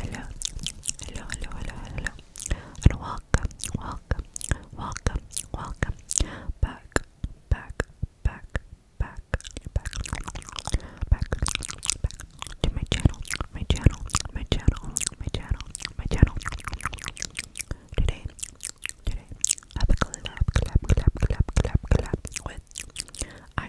Hello, hello, hello, hello, hello, and welcome, welcome, welcome, welcome back, back, back, back, back, back, back to my channel, my channel, my channel, my channel, my channel. Today, today, I have a clap, clap, clap, clap, clap, clap with I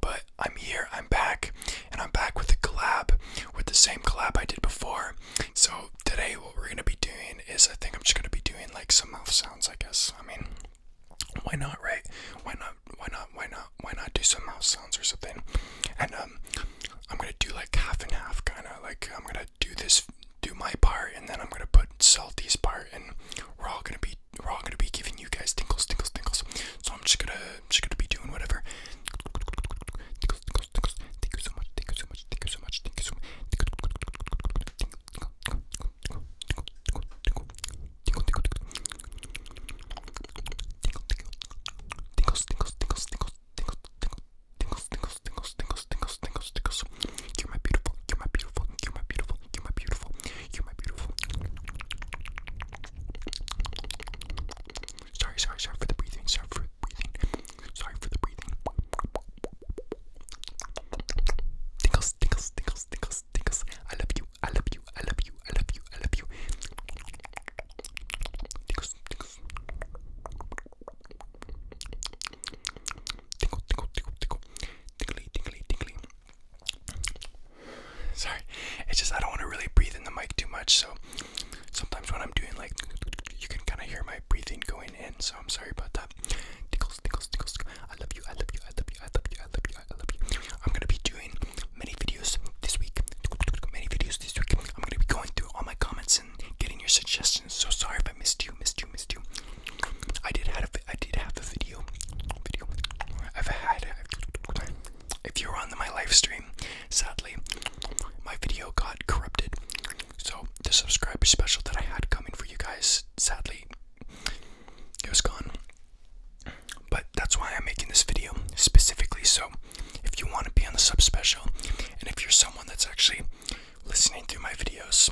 But I'm here, I'm back, and I'm back with a collab, with the same collab I did before. So today, what we're gonna be doing is I think I'm just gonna be doing like some mouth sounds, I guess. I mean, why not, right? Why not? Why not? Why not? Why not do some mouth sounds or something? And um, I'm gonna do like half and half, kind of like I'm gonna do this, do my part, and then I'm gonna put Salty's part, and we're all gonna be we're gonna be giving you guys tinkles, tinkles, tinkles. So I'm just gonna, just gonna be doing whatever. Tinkles, tinkles, tinkles. Thank you so much. Thank you so much. Thank you so much. Thank you so much. Tinkles, tinkles, tinkles, tinkles, tinkles, tinkles, tinkles, tinkles, tinkles, tinkles, tinkles, tinkles. You're my beautiful, you're my beautiful, you're my beautiful, you're my beautiful, you're my beautiful. Sorry, sorry, sorry for the breathing. Sorry for the breathing. Sorry for the breathing. Tinkles, tinkles, tinkles, tinkles, tinkles. I love you. I love you. I love you. I love you. I love you. Tinkles, tinkles. Tinkle, tinkle, tinkle, tinkle. Tinkly, tinkly, tinkly. Sorry, it's just I don't want to really breathe in the mic too much, so sometimes when I'm doing like, you can kind of hear my breathing going in, so I'm sorry about that. Tickles, tickles, tickles. I love you, I love you, I love you, I love you, I love you, I love you. I'm gonna be doing many videos this week, many videos this week. I'm gonna be going through all my comments and getting your suggestions. So sorry if I missed you, missed you, missed you. I did have I did have a video, video. I've had. If you were on my live stream, sadly, my video got corrupted. So the subscriber special that I had coming for you guys, sadly, it was gone. But that's why I'm making this video specifically. So if you want to be on the sub special, and if you're someone that's actually listening through my videos,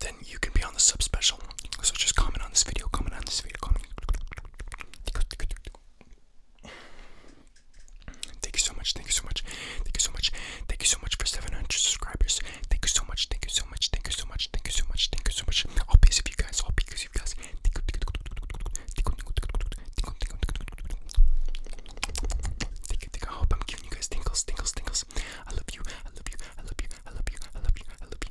then you can be on the sub special. So just comment on this video, comment on this video, Thank you so much. Thank you so much. Thank you so much. Thank you so much for 700 subscribers. Thank you so much. Thank you so much. Thank you so much. Thank you so much. Thank you so much. All because of you guys. All because of you guys. Thank you. I hope I'm giving you guys tingles, tingles, tingles. I love you. I love you. I love you. I love you. I love you. I love you.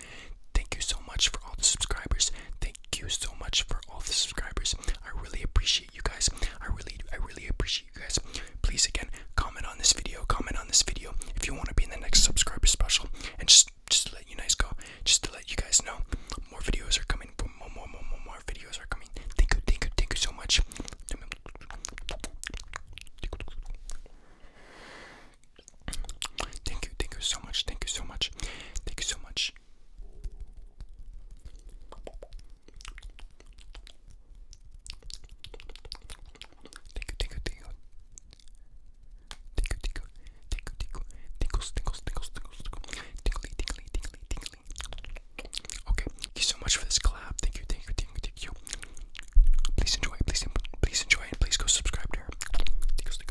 Thank you so much for all the subscribers. Thank you so much for all the subscribers. I really appreciate you guys. I really, I really appreciate you guys. Please again, comment on this video. Comment on this video if you want to be in the next subscriber special. And just, just let you guys go, just to let you guys know, more videos are coming. More, more, more, more, more videos are coming. Thank you, thank you, thank you so much. Thank you, thank you so much, thank you so much, thank you so much much. Tickle, tickle, tickle. Tickle, tickle, tickle, tickle, tickles, tickles, tickles, tickles, tickle, tickly, tickly, tickly, tickly. Okay, thank you so much for this collab. Thank you, thank you, thank you, thank you. Please enjoy, please, please enjoy, and please go subscribe to her. Tickles, tickles.